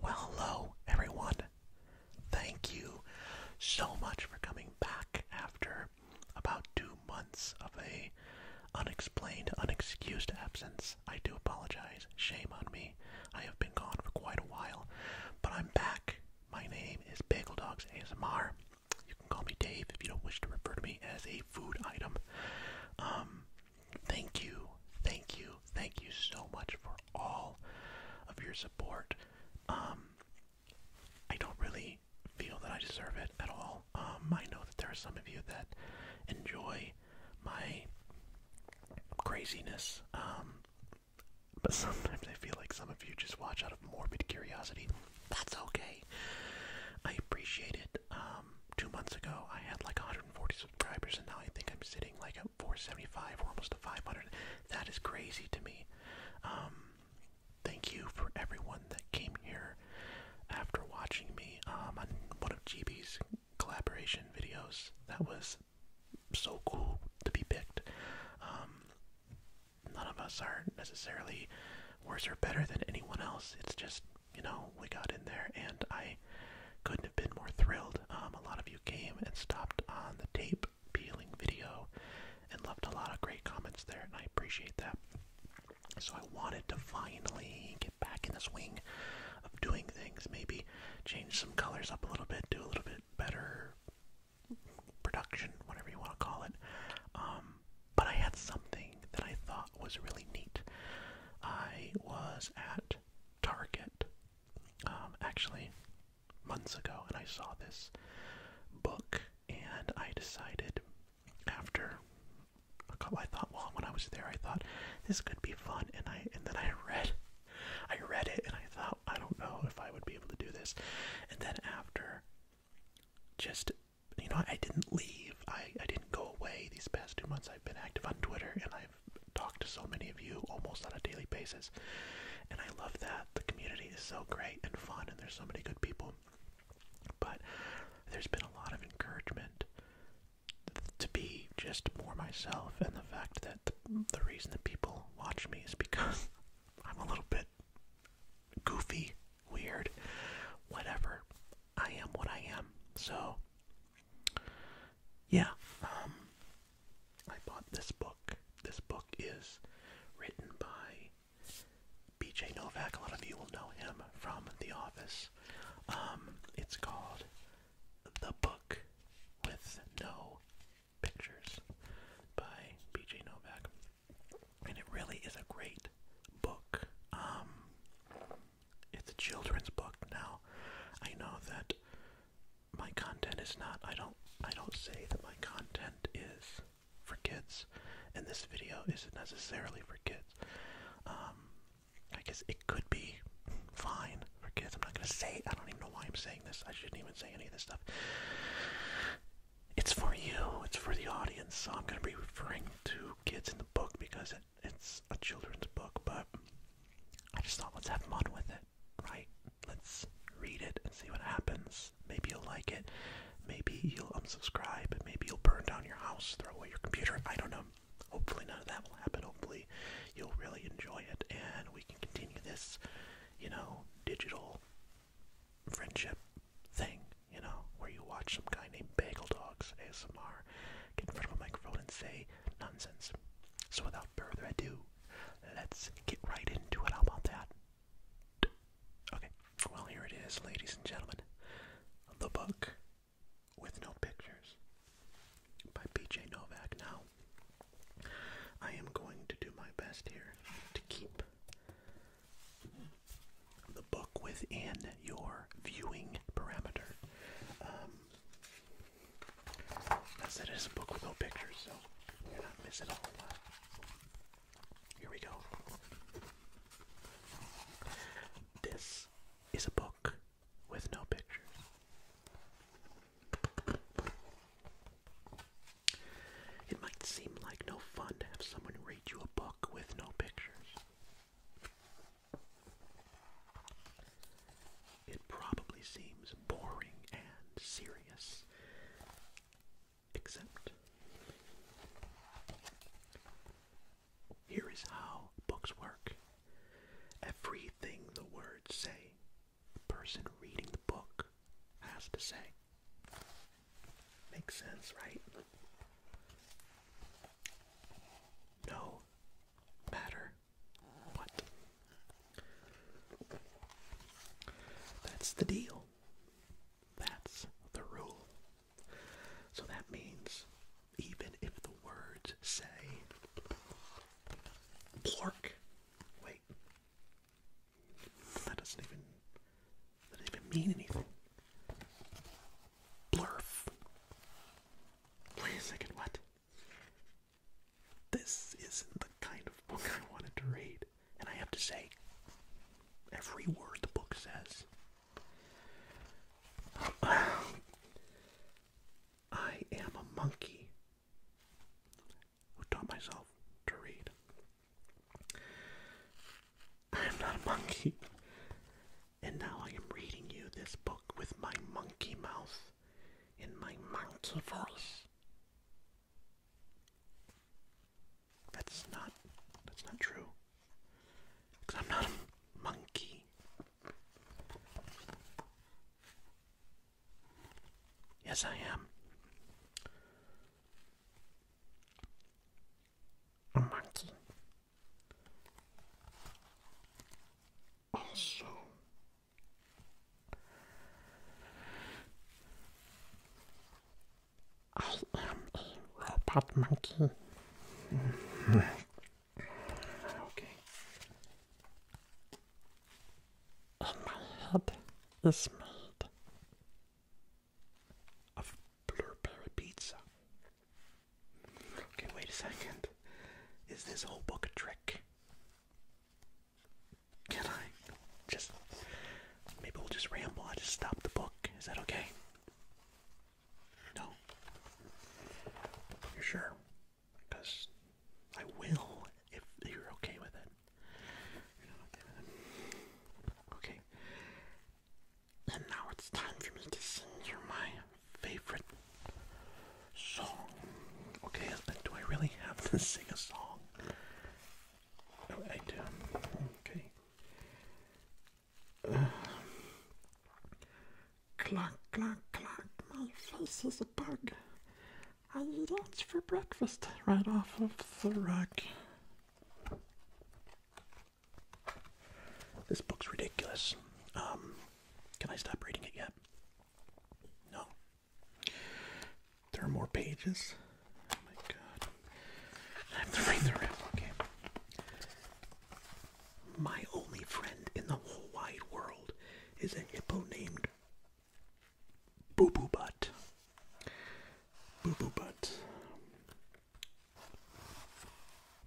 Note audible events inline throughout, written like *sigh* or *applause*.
Well, hello, everyone. Thank you so much for coming back after about two months of a unexplained, unexcused absence. I do apologize. Shame on me. I have been gone for quite a while, but I'm back. My name is Bagel Dogs ASMR. You can call me Dave if you don't wish to refer to me as a food item. Um, Thank you, thank you, thank you so much for all of your support. Um, I don't really feel that I deserve it at all. Um, I know that there are some of you that enjoy my craziness, um, but *laughs* sometimes I feel like some of you just watch out of morbid curiosity. That's okay. I appreciate it. Um, two months ago, I had like 140 subscribers, and now I think I'm sitting like at 475 or almost 500. That is crazy to me. Um, thank you for everyone that came here after watching me um, on one of GB's collaboration videos. That was so cool to be picked. none of us are necessarily worse or better than anyone else. It's just you know, we got in there, and I couldn't have been more thrilled. Um, a lot of you came and stopped on the tape peeling video and left a lot of great comments there, and I appreciate that. So I wanted to finally get back in the swing of doing things, maybe change some colors up a little bit, do a little bit better production, whatever you want to call it. Um, but I had something that I thought was really neat. I was at Target um, actually months ago and I saw this book and I decided after a couple I thought well when I was there I thought this could be fun and I and then I *laughs* read I read it and I thought I don't know if I would be able to do this and then after just you know, I didn't leave. I, I didn't go away these past two months. I've been active on Twitter and I've talked to so many of you almost on a daily basis. And I love that. The community is so great and fun and there's so many good people. But there's been a lot of encouragement to be just more myself and the fact that the, the reason that people watch me is because *laughs* I'm a little bit goofy, weird, whatever. I am what I am. So, yeah, um, I bought this book. This book is written by BJ Novak. A lot of you will know him from The Office. Um, it's called The Book with No Pictures by BJ Novak and it really is a great book. Um, it's a children's book. Now, I know that my content is not. I don't. I don't say that my content is for kids, and this video isn't necessarily for kids. Um, I guess it could be fine for kids. I'm not gonna say. I don't even know why I'm saying this. I shouldn't even say any of this stuff. It's for you. It's for the audience. So I'm gonna be referring to kids in the book because it's a children's book, but I just thought let's have fun with it, right? Let's read it and see what happens. Maybe you'll like it. Maybe you'll unsubscribe. Maybe you'll burn down your house, throw away your computer. I don't know. Hopefully, none of that will happen. Hopefully, you'll really enjoy it and we can continue this, you know, digital friendship thing, you know, where you watch some guy named Bagel Dogs ASMR get in front of a microphone and say nonsense. So without further ado, let's get right into it. about that? Okay, well, here it is, ladies and gentlemen The Book with No Pictures by PJ Novak. Now, I am going to do my best here to keep the book within your viewing parameter. Um, that's It's a book with no pictures, so you're not missing a lot. Here we go. This is a book with no pictures. It might seem like no fun to have someone read you a book with no pictures. It probably seems boring and serious, except here is how books work. Everything the words say, the person reading the book has to say. Makes sense, right? No matter what. That's the deal. That's the rule. So that means even if the words say plork, wait, that doesn't even that doesn't even mean anything. Blurf. Wait a second, what? This isn't the kind of book I wanted to read. And I have to say, every word the book says. I am a monkey who taught myself to read. I am not a monkey, and now I am reading you this book with my monkey mouth in my monkey voice. That's not that's not true. Cause I'm not a monkey. Yes, I am. A monkey. Also, I am a robot monkey. *laughs* okay and oh, my head is made of blueberry pizza. Okay, wait a second. Is this whole book a trick? Can I just maybe we'll just ramble? I just stop the book. Is that okay? No. You're sure? Because I will if you're okay with it. okay And now it's time for me to sing you my favorite song. Okay, do I really have to *laughs* sing a song? I do. Okay. Uh, clock, clock, my face is a bug. I eat oats for breakfast right off of the rack. This book's ridiculous. Um, can I stop reading it yet? No. There are more pages. Oh my god. I have to read the rest. Okay. My only friend in the whole wide world is a hippo named Boo Boo Butt. Boo Boo Butt.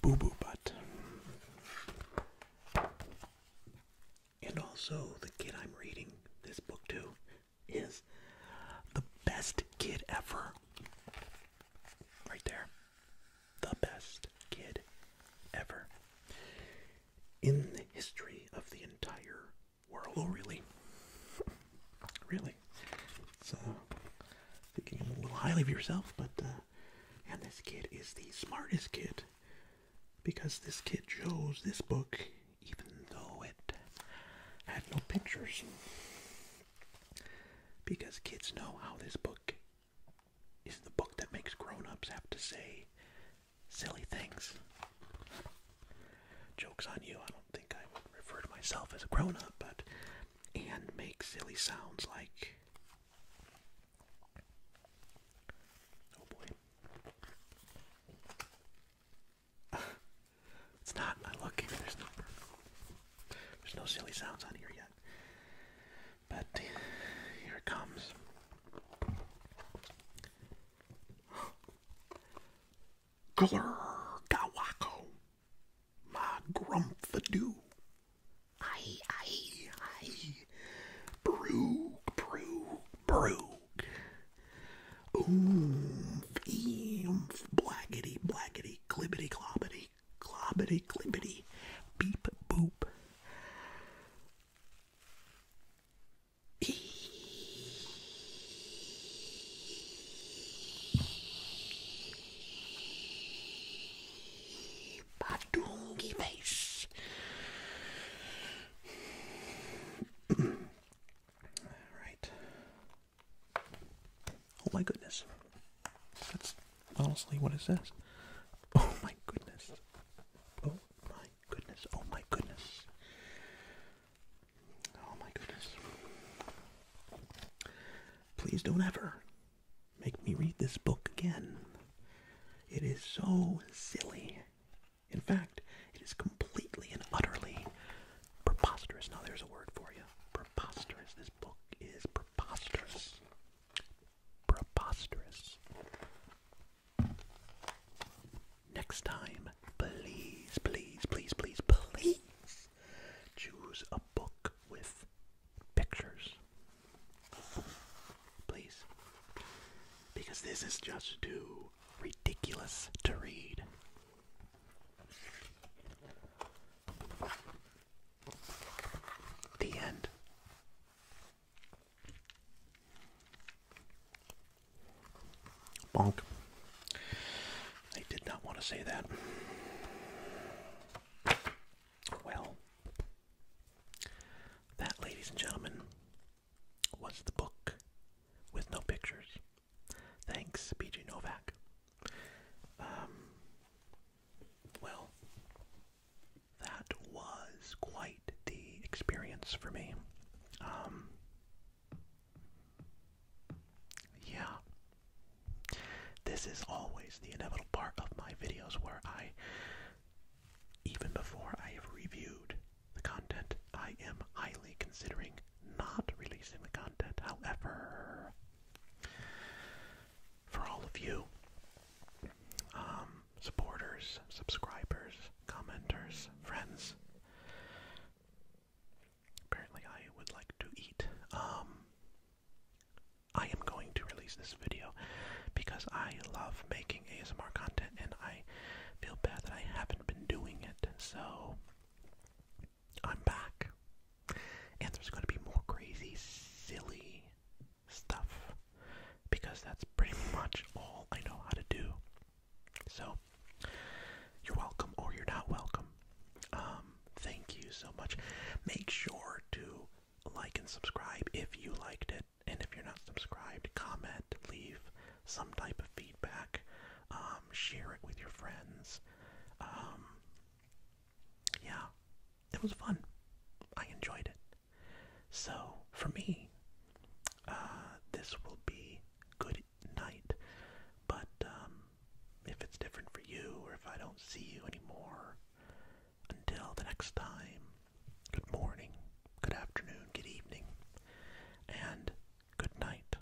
Boo Boo Butt. And also, the kid I'm reading this book to is the best kid ever. Right there. The best kid ever in the history of the entire world. Oh, really? Really? So, thinking a little highly of yourself, but, uh, and this kid is the smartest kid because this kid chose this book even though it had no pictures. Because kids know how this book is the book that makes grown-ups have to say silly things. Joke's on you, I don't think I would refer to myself as a grown-up, but and make silly sounds like oh boy. *laughs* it's not, I look here, there's no there's no silly sounds on here yet. But here it comes. *gasps* Glur Gawako, my grumpfadoo. Aye, aye, aye. Broog, broog, broog. Oomph, eemph, blackety, blackety, clibbity, clobbity clippity, beep boop. Eee. Badungi face. All right. Oh my goodness. That's honestly what it says. Oh my goodness. Oh my goodness. Oh my goodness. Oh my goodness. Please don't ever make me read this book again. It is so silly. In fact, it is completely and utterly preposterous. Now, there's a word for you. Preposterous. This book is preposterous preposterous. Next time, please, please, please, please, please choose a book with pictures. Please. Because this is just too ridiculous to read. The end. Bonk. I did not want to say that. Well, that, ladies and gentlemen, was the book with no pictures. Thanks, BJ Novak. Um, well, that was quite the experience for me. Um, yeah. This is always the inevitable part of my videos where I, even before I have reviewed the content, I am highly considering not releasing the content. However, for all of you um, supporters, subscribers, commenters, friends. Apparently, I would like to eat. Um, I am going to release this video because I love making ASMR content and I feel bad that I haven't been doing it. So, I'm back. And there's going to be more crazy, silly stuff because that's pretty *laughs* much all I know how to do. So, you're welcome or you're not welcome. Um, thank you so much. Make sure to like and subscribe if you liked it. And if you're not subscribed, comment, leave some type of feedback, um, share it with your friends. Um, yeah, it was fun. I enjoyed it. So, for me, uh, this will be good night. But um, if it's different for you, or if I don't see you anymore, until the next time, good morning, good afternoon, good evening, and good night.